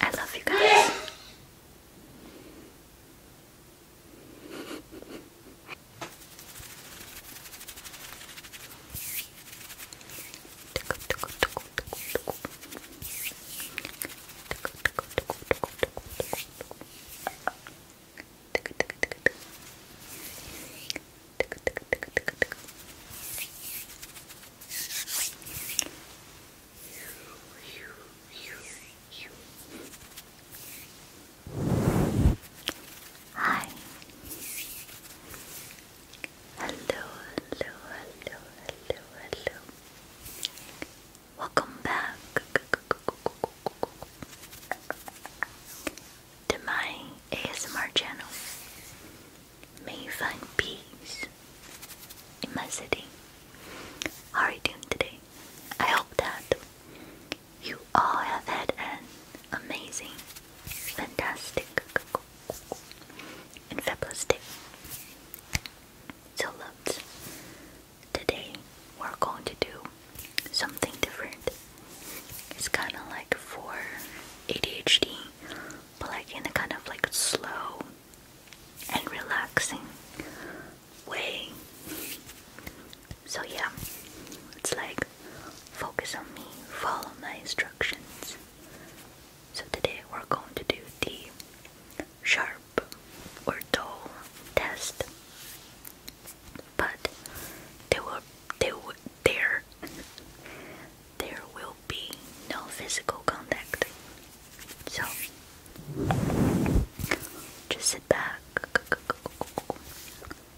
I love you guys. Hi. Hello, hello, hello, hello, hello. Welcome back to my ASMR channel. May you find peace in my city. How are you doing today? I hope that you all have had an amazing, fantastic, and fabulous So, loves, today we're going to do something different. It's kind of like for ADHD, but like in a kind of like slow and relaxing way. So, yeah, it's like focus on me, follow my instructions. So, today we're going to do the sharp or dull test, but they were they were there there will be no physical contact. So just sit back,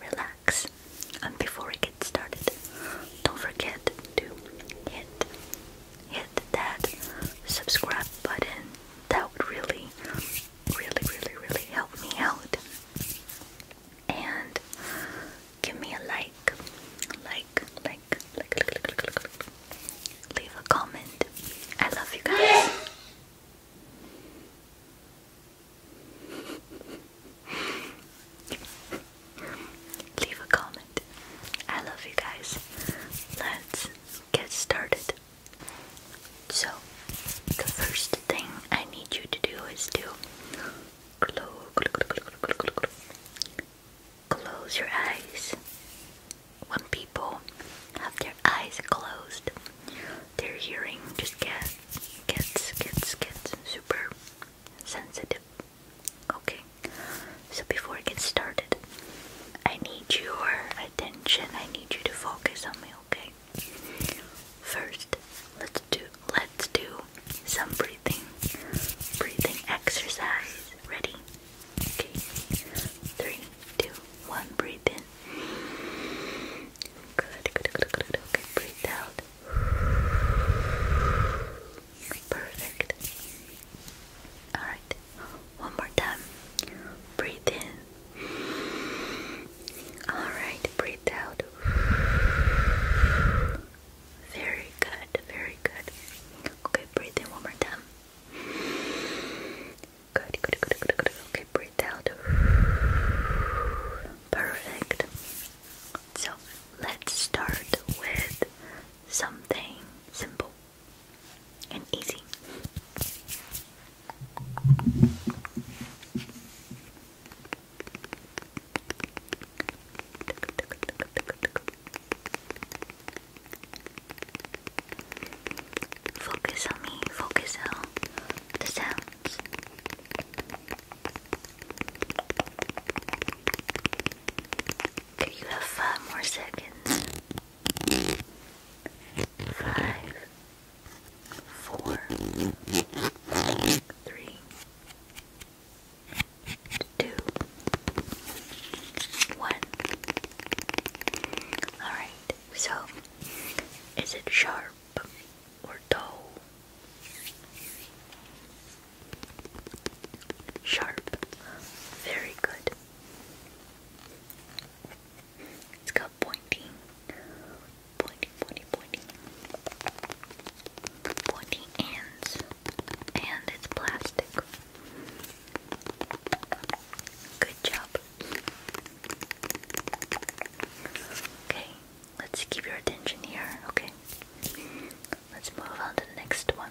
relax, and before we get started, don't forget to hit hit that subscribe button. That would really, really, really, really help me out. And give me a like, like, like, like, like, like, like, leave a comment. I love you guys. leave a comment. I love you guys. Let's get started. So, the first thing I need you to do is do. Close your eyes. When people have their eyes closed, their hearing just gets gets gets gets super sensitive. Okay. So before I get started, I need your attention. I need you to focus on me, okay? First, let's do let's do some breathing breathing exercise. Ready? Okay. Three, two, one, breathe in. Good, good, good, good, okay, breathe out. Perfect. Alright. One more time. Breathe in. Alright, breathe out. Very good, very good. Okay, breathe in one more time. Good, good, good, good, good. Okay, breathe out. Perfect. So let's start with something simple and easy. Focus on me, focus on the sounds. Okay, you have five more seconds. Five, four, three, two, one. Alright, so is it sharp or dull? Sharp. Very good. It's got pointing pointy, pointy, pointy, pointy ends, and it's plastic. Good job. Okay, let's keep your attention here. Okay, let's move on to the next one.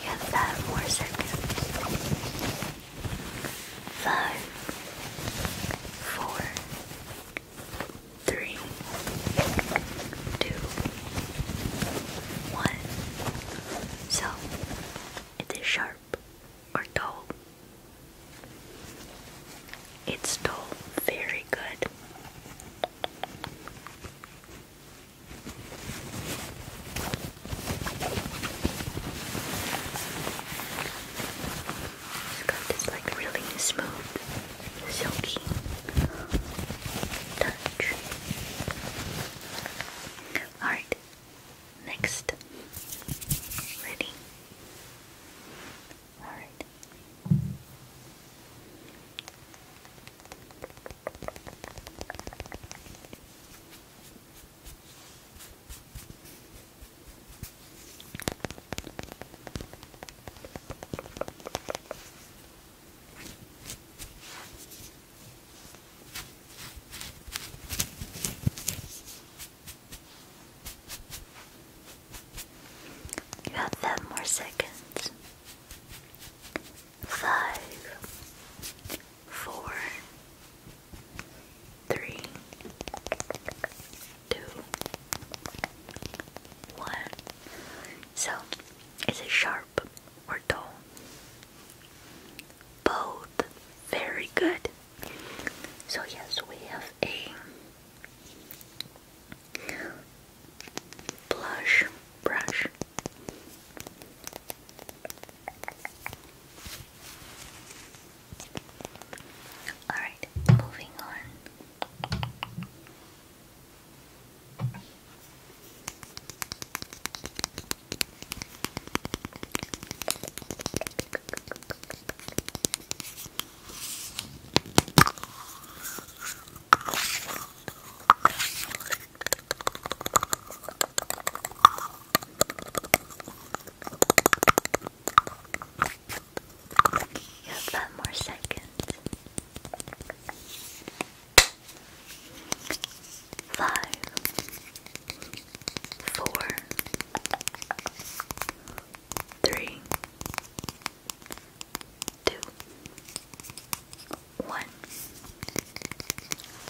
Yeah, five more seconds. Five, four, three, two, one. So, it is sharp or dull? It's dull. Very good. It's got this like really smooth, silky touch. Alright, Next. Ready? Alright. You have five more seconds. Five, four, three, two, one. So, is it sharp? plump or dull? Both. Very good. So, yes, we have a blush brush. Alright, moving on. You have one more second. Five, four, three, two, one.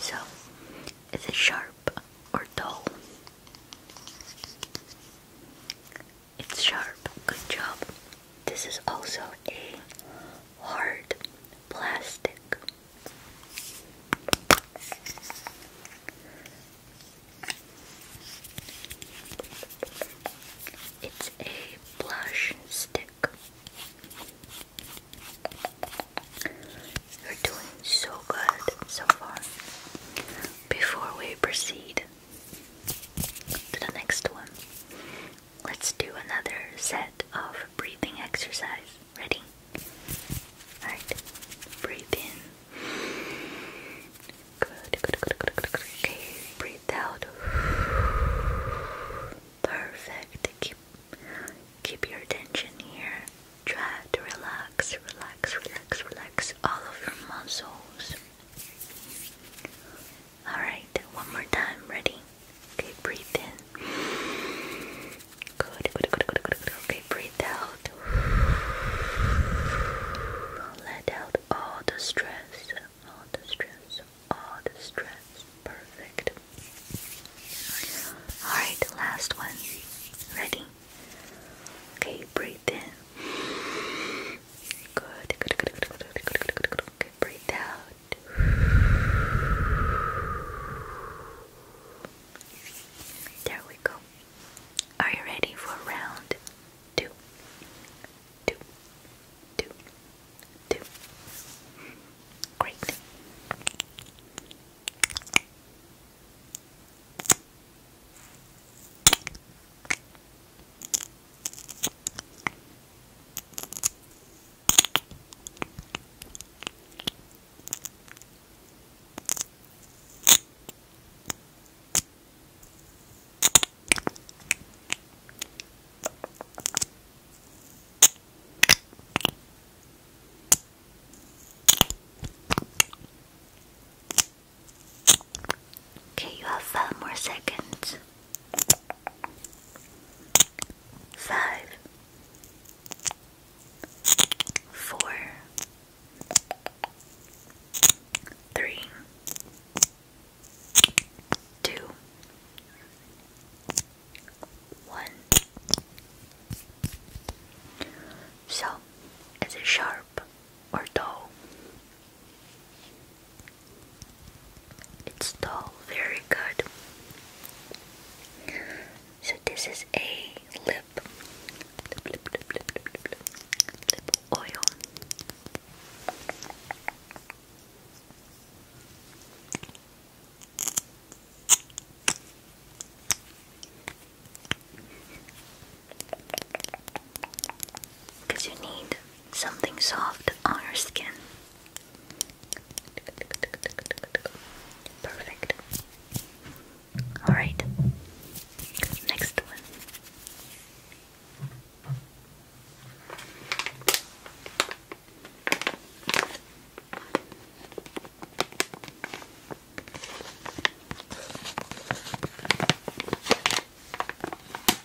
So, is it sharp or dull? It's sharp. Good job. This is also a hard plastic. It's a blush stick. You're doing so good so far. Before we proceed to the next one, Let's do another set of breathing exercise. Ready? Alright. Breathe in. Okay. Breathe out. Perfect. Keep keep your attention here. Try to relax, relax, relax, relax all of your muscles. Alright, one more time. Ready? Okay, breathe in. Good, good, good, good, good, good. Okay, breathe out. Let out all the stress. All the stress. All the stress. Perfect. Alright, last one. Ready? Okay, breathe in. Good, good, good, good, good, good, good, good, good. Okay, breathe out. There we go. Are you ready for round two? Two, two, two. Great. Good. Okay, you have five more seconds. Five, four, three, two, one. So, is it sharp or dull? It's tall, very good. So this is a lip, lip, lip, lip, lip, lip, lip, lip oil because you need something soft on your skin. Perfect. Alright, next one.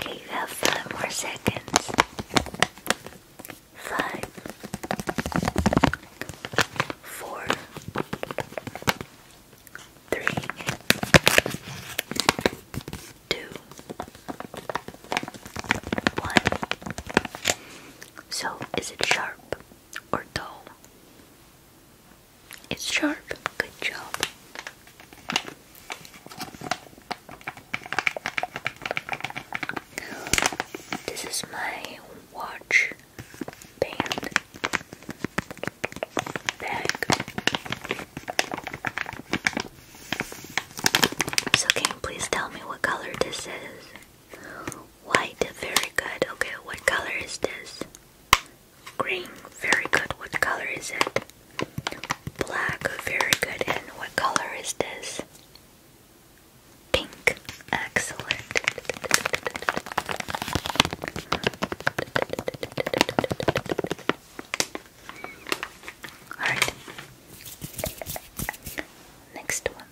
Okay, you have five more seconds. Five, four, three, two, one. So, is it sharp or dull? It's sharp. Good job. This is my watch bag. So can you please tell me what color this is? White, very good. Okay, what color is this? Green, very good. What color is it? Black, very good. And what color is this? Pink, Excellent. All right. Next one.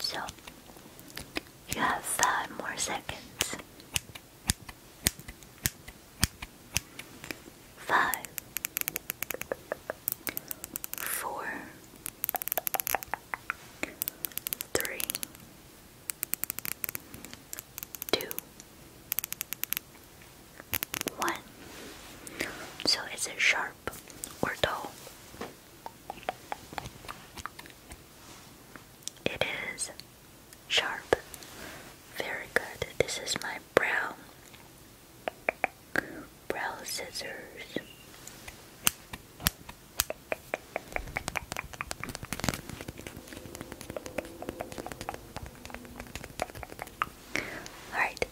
So you have five more seconds. Five, four, three, two, one. So is it sharp or dull? It is sharp. Very good. This is my brow. Brow scissors. Alright,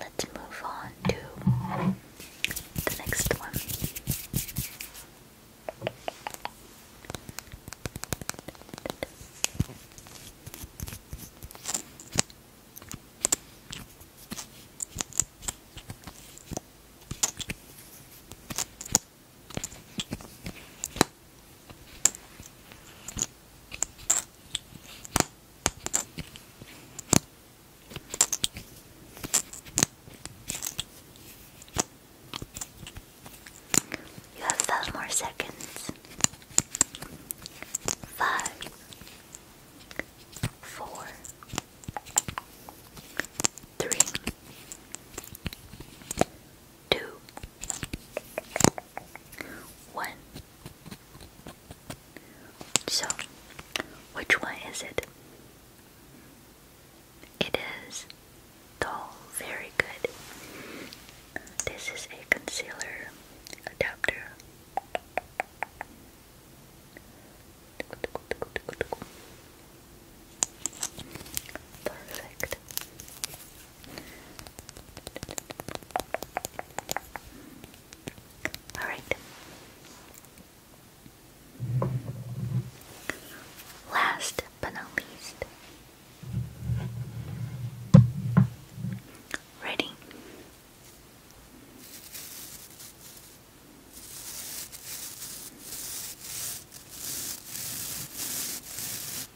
let's move on to the next one. You have five more seconds. Five, four, three, two, one. So, which one is it? It is tall, very good. This is a concealer adapter. Perfect. All right. Last but not least. Ready?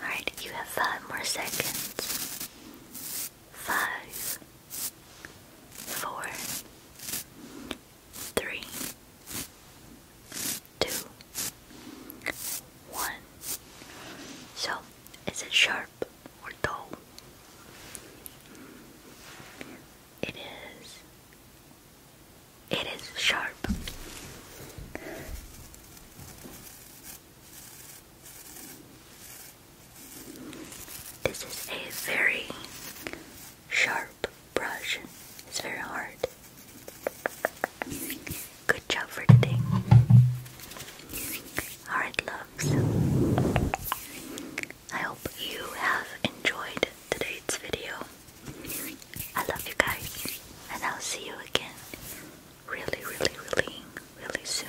Alright, you have five more seconds. Five, four, three, two, one. So, is it sharp or dull? It is. It is sharp. This is a very sharp brush. It's very hard. Good job for today. Alright, loves. I hope you have enjoyed today's video. I love you guys, and I'll see you again really, really, really, really soon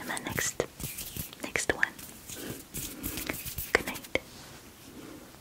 in my next next one. Good night.